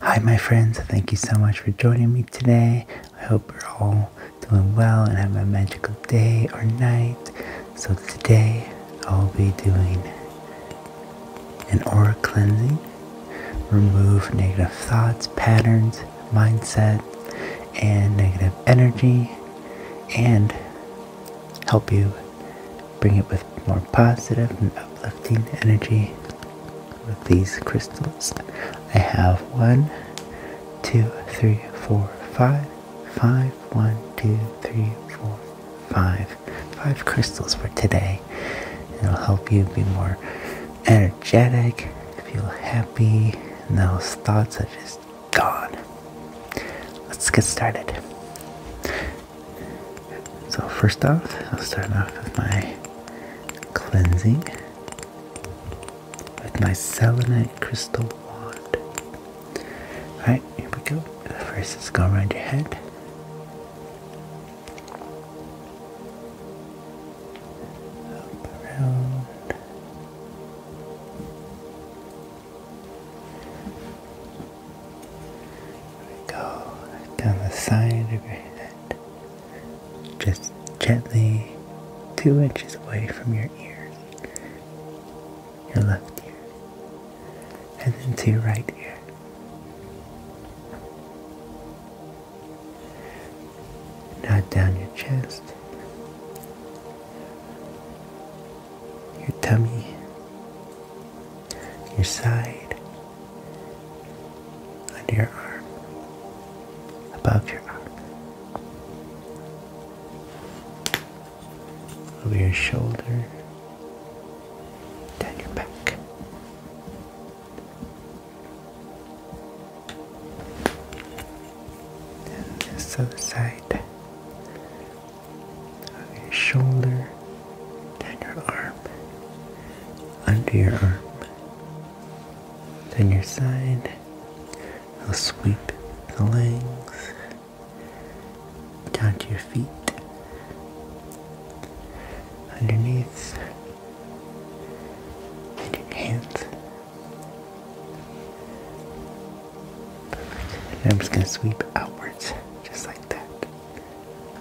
Hi, my friends. Thank you so much for joining me today. I hope you're all doing well and have a magical day or night. So, today I'll be doing an aura cleansing, remove negative thoughts, patterns, mindset, and negative energy, and help you bring it with more positive and uplifting energy with these crystals. I have one, two, three, four, five, five, one, two, three, four, five, five crystals for today. It'll help you be more energetic, feel happy, and those thoughts are just gone. Let's get started. So first off, I'll start off with my cleansing with my selenite crystal wand. Alright, here we go. First, let's go around your head. Up around go down the side of your head, just gently two inches away from your ears, your left ear, and then to your right ear. Now down your chest, your tummy, your side, under your arm, above your arm, over your shoulder, down your back. And this other side, over your shoulder, down your arm, under your arm, then your side. i will sweep the legs down to your feet, underneath, and your hands. I'm just going to sweep outwards, just like that.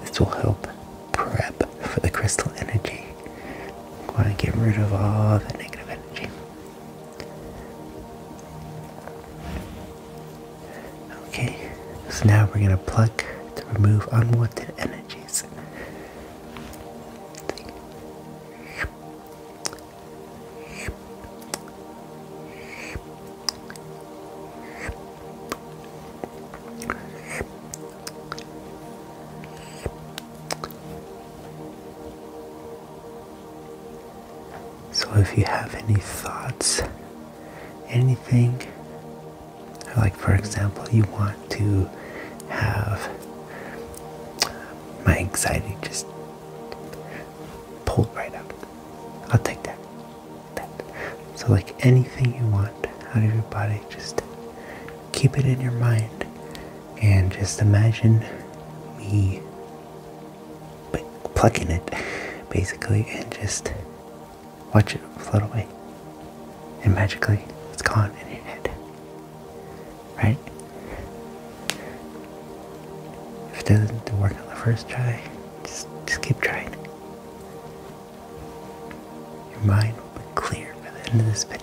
This will help prep for the crystal energy. We want to get rid of all the negative energy. Okay, so now we're going to plug to remove unwanted energies. So if you have any thoughts, anything, like for example, you want to have my anxiety just pulled right out. I'll take that. So, like anything you want out of your body, just keep it in your mind and just imagine me plucking it basically and just watch it float away. And magically, it's gone in your head. Right? If it doesn't work on the first try, just, just keep trying. Your mind will be clear by the end of this video.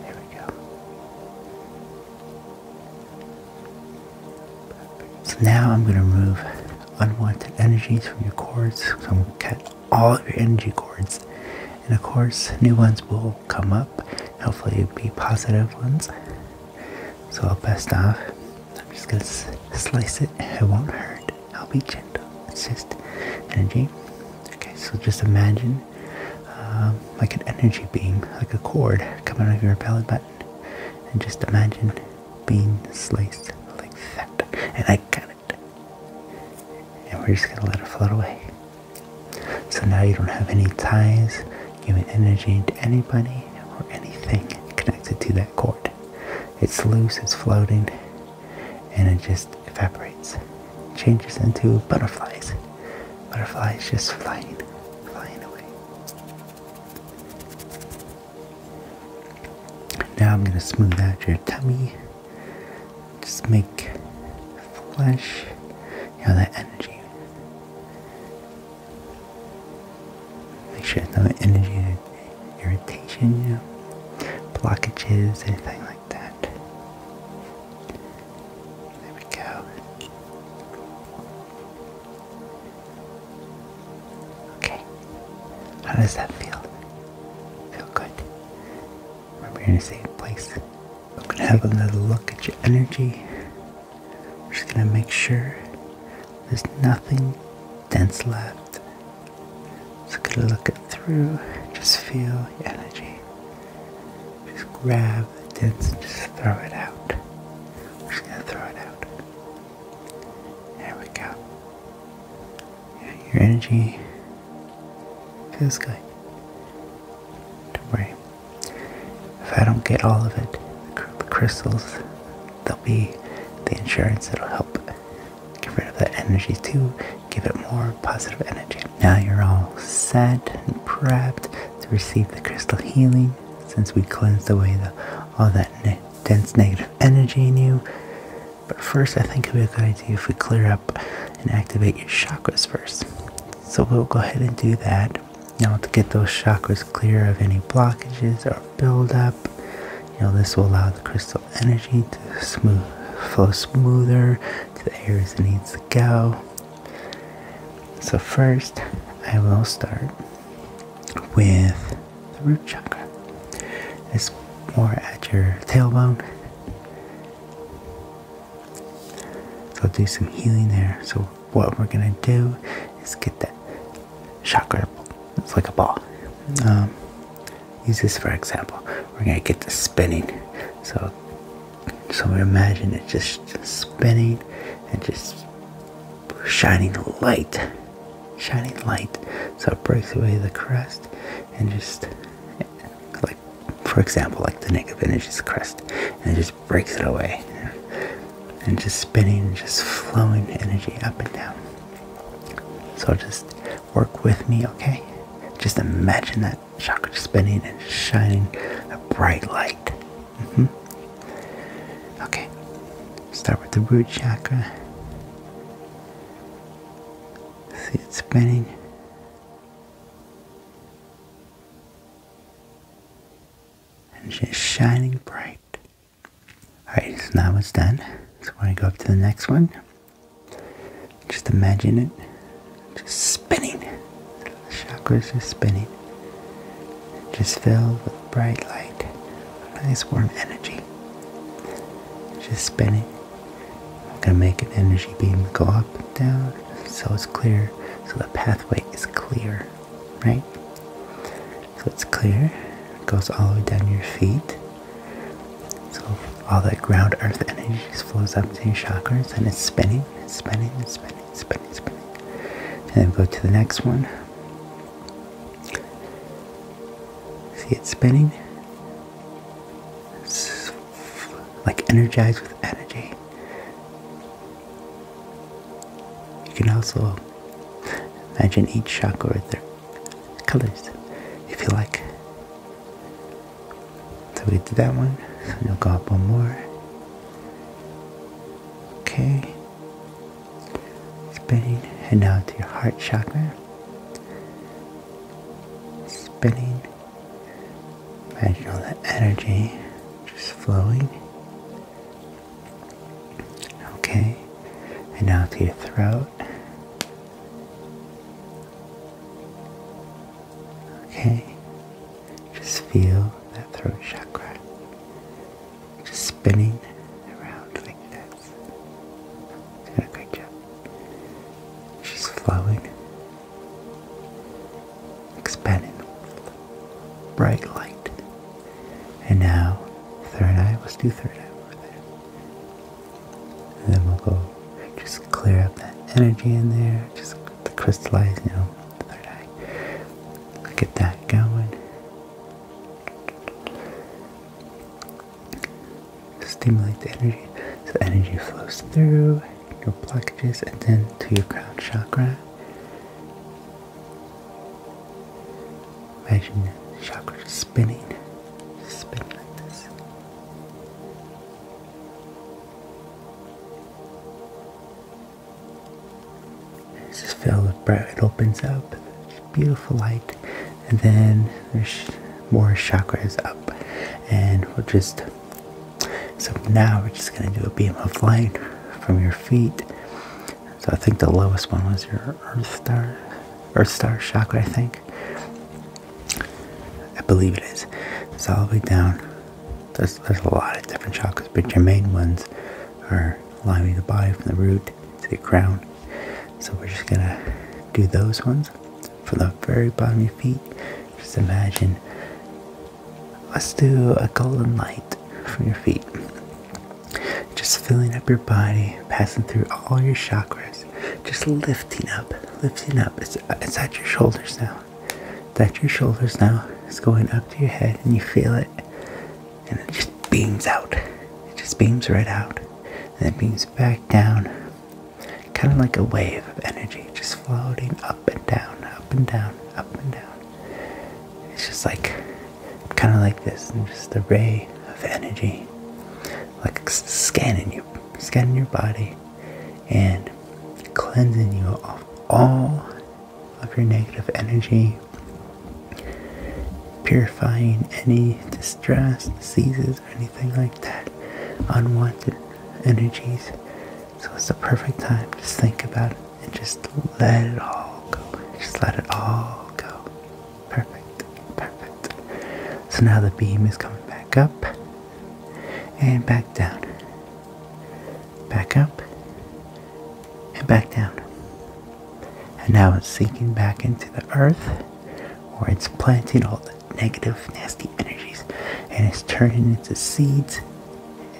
There we go. So now I'm going to remove unwanted energies from your cords. So I'm going to cut all of your energy cords. And of course, new ones will come up. Hopefully, it'll be positive ones. So I'll best off. I'm just going to slice it. It won't hurt. I'll be gentle. It's just energy. Okay, so just imagine um, like an energy beam, like a cord coming out of your belly button. And just imagine being sliced like that. And I got it. And we're just going to let it float away. So now you don't have any ties giving energy to anybody or anything connected to that cord. It's loose, it's floating, and it just evaporates, changes into butterflies. Butterflies just flying, flying away. Now I'm gonna smooth out your tummy. Just make flesh, you know, that energy. Make sure no energy irritation, blockages, anything like that. There we go. Okay. How does that feel? Feel good. Remember, are in a safe place. We're gonna have another look at your energy. We're just gonna make sure there's nothing dense left. Just gonna look it through, just feel the energy. Just grab the dense and just throw it out. just gonna throw it out. There we go. your energy feels good. Don't worry. If I don't get all of it, the crystals, they'll be the insurance that'll help get rid of that energy too, give it more positive energy. Now you're all set and prepped to receive the crystal healing since we cleansed away all that dense negative energy in you. But first, I think it would be a good idea if we clear up and activate your chakras first. So we'll go ahead and do that. Now to get those chakras clear of any blockages or buildup. You know, this will allow the crystal energy to smooth, flow smoother to the areas it needs to go. So first, I will start with the root chakra. It's more at your tailbone. So do some healing there. So what we're gonna do is get that Chakra, it's like a ball um, use this for example we're gonna get the spinning so so imagine it just spinning and just shining light shining light so it breaks away the crust and just like for example like the negative energy's crust, and it just breaks it away and just spinning just flowing energy up and down so just work with me, okay? Just imagine that chakra spinning and shining a bright light. Mm -hmm. Okay, start with the root chakra. See it spinning. And she's shining bright. Alright, so now it's done. So we're going to go up to the next one. Just imagine it just spinning. The chakras just spinning. Just filled with bright light. Nice warm energy. Just spinning. I'm going to make an energy beam go up and down so it's clear. So the pathway is clear, right? So it's clear. It goes all the way down your feet. So all that ground earth energy just flows up to your chakras and it's spinning, spinning, spinning, spinning, spinning. And then go to the next one. See it spinning? like energized with energy. You can also imagine each chakra with their colors if you like. So we did that one. We'll go up one more. Okay. Spinning. and now to your heart chakra. Spinning. Imagine all that energy just flowing Okay, and now to your throat. Okay, just feel that throat chakra just spinning around like this. Doing a great job. She's flowing, expanding, bright light and now, third eye, let's do third eye over there. And then we'll go, just clear up that energy in there, just the crystallized, you know, third eye. Get that going. Stimulate the energy, so energy flows through your blockages and then to your crown chakra. Imagine the chakra spinning, spinning like this. And just filled with breath. It opens up, beautiful light, and then there's more chakras up, and we are just. So now we're just gonna do a beam of light from your feet so I think the lowest one was your Earth Star, Earth Star chakra, I think. I believe it is. It's all the way down. There's, there's a lot of different chakras, but your main ones are lining the body from the root to the crown. So we're just gonna do those ones from the very bottom of your feet. Just imagine. Let's do a golden light from your feet. Just filling up your body, passing through all your chakras, just lifting up, lifting up. It's, it's at your shoulders now. It's at your shoulders now. It's going up to your head, and you feel it, and it just beams out. It just beams right out, and it beams back down, kind of like a wave of energy, just floating up and down, up and down, up and down it's just like kind of like this just a ray of energy like scanning you scanning your body and cleansing you of all of your negative energy purifying any distress diseases or anything like that unwanted energies so it's a perfect time to think about it and just let it all go. Just let it all go. Perfect. Perfect. So now the beam is coming back up and back down. Back up and back down. And now it's sinking back into the earth where it's planting all the negative, nasty energies and it's turning into seeds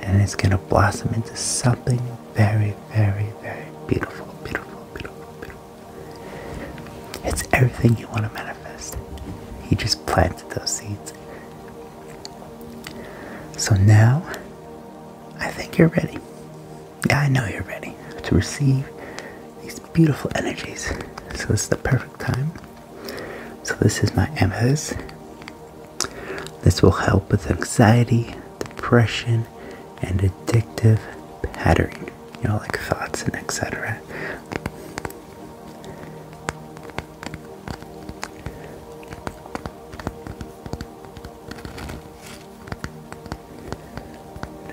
and it's going to blossom into something very, very, very beautiful, beautiful, beautiful, beautiful. It's everything you want to manifest. You just planted those seeds. So now, I think you're ready. Yeah, I know you're ready to receive these beautiful energies. So this is the perfect time. So this is my amethyst. This will help with anxiety, depression, and addictive patterning, you know, like thoughts and etc.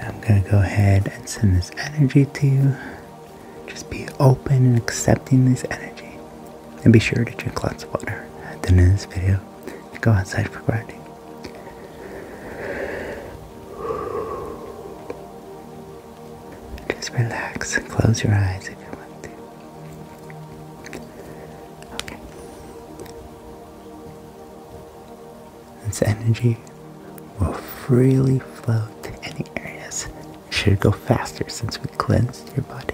I'm going to go ahead and send this energy to you. Just be open and accepting this energy. And be sure to drink lots of water at the end of this video go outside for grounding. Just relax and close your eyes if you want to. Okay. This energy will freely flow to any areas. It should go faster since we cleansed your body.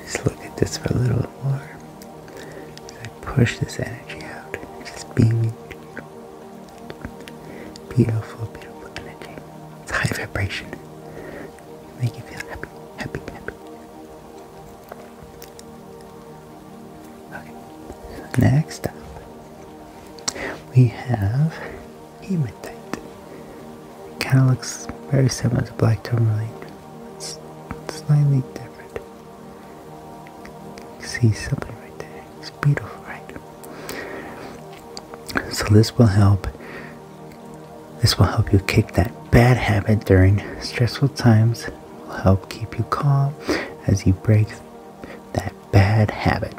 Just look at this for a little more. I push this energy out, just beaming beautiful, beautiful energy. It's high vibration. Make you feel happy, happy, happy. Okay. Next up, we have hematite. Kind of looks very similar to black tourmaline slightly different. See something right there. It's beautiful, right? So this will help. This will help you kick that bad habit during stressful times. will help keep you calm as you break that bad habit.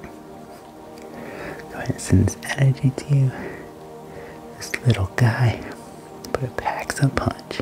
Go ahead and send this energy to you. This little guy but it packs a punch.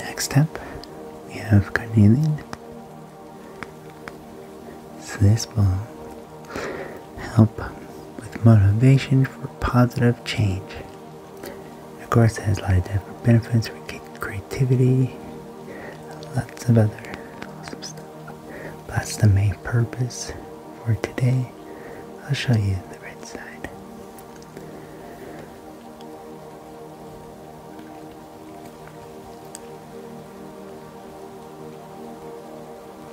Next up, we have carnelian. So this ball help with motivation for positive change. Of course, it has a lot of different benefits for creativity, lots of other awesome stuff. that's the main purpose for today. I'll show you the right side.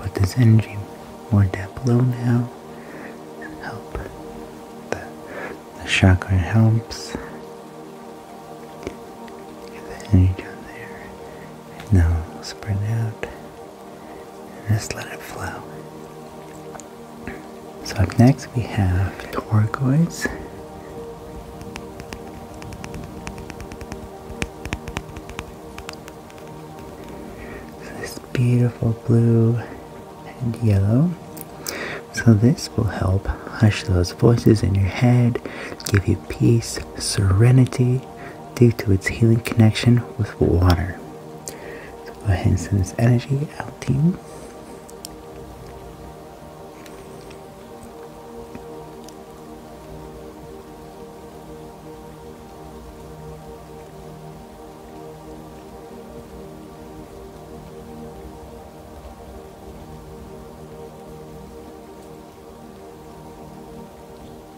But this energy more down below now help the, chakra helps get the energy down there and now spread out just let it flow. So up next we have turquoise. this beautiful blue and yellow. So this will help hush those voices in your head, give you peace, serenity, due to its healing connection with water. So go ahead and send this energy out team.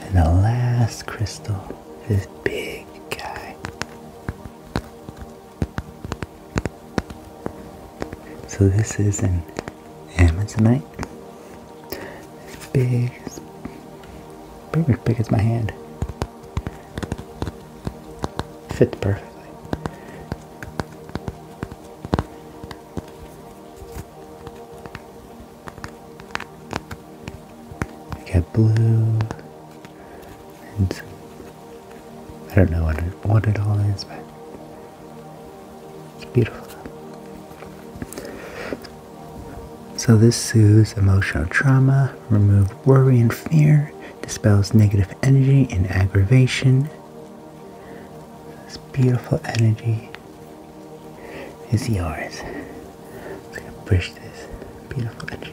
And the last crystal is big guy. So this is an amazonite. It's big, it's big as my hand fit perfectly. I got blue and I don't know what it, what it all is, but it's beautiful. So, this soothes emotional trauma, removes worry and fear, dispels negative energy and aggravation. This beautiful energy is yours. I'm going push this beautiful energy.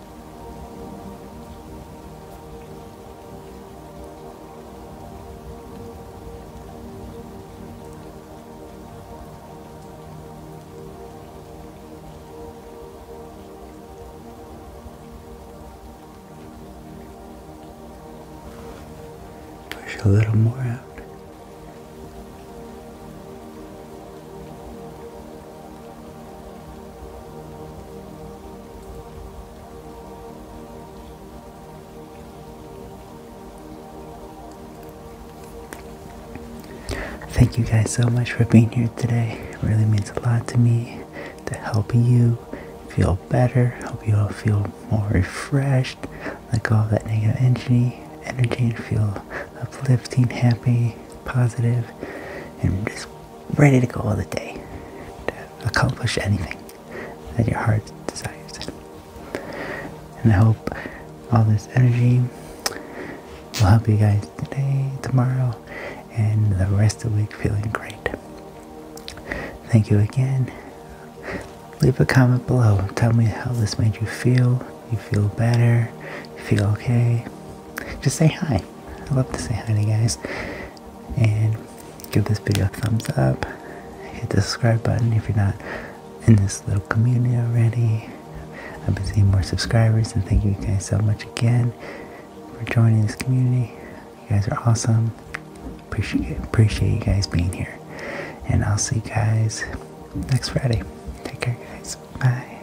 Push a little more out. Thank you guys so much for being here today. It really means a lot to me to help you feel better, help you all feel more refreshed, let go of that negative energy, energy and feel uplifting, happy, positive, and just ready to go all the day to accomplish anything that your heart desires. And I hope all this energy will help you guys today, tomorrow, and the rest of the week feeling great. Thank you again. Leave a comment below. Tell me how this made you feel. You feel better. You feel okay. Just say hi. I love to say hi to guys. And give this video a thumbs up. Hit the subscribe button if you're not in this little community already. I've been seeing more subscribers and thank you guys so much again for joining this community. You guys are awesome. Appreciate appreciate you guys being here. And I'll see you guys next Friday. Take care guys. Bye.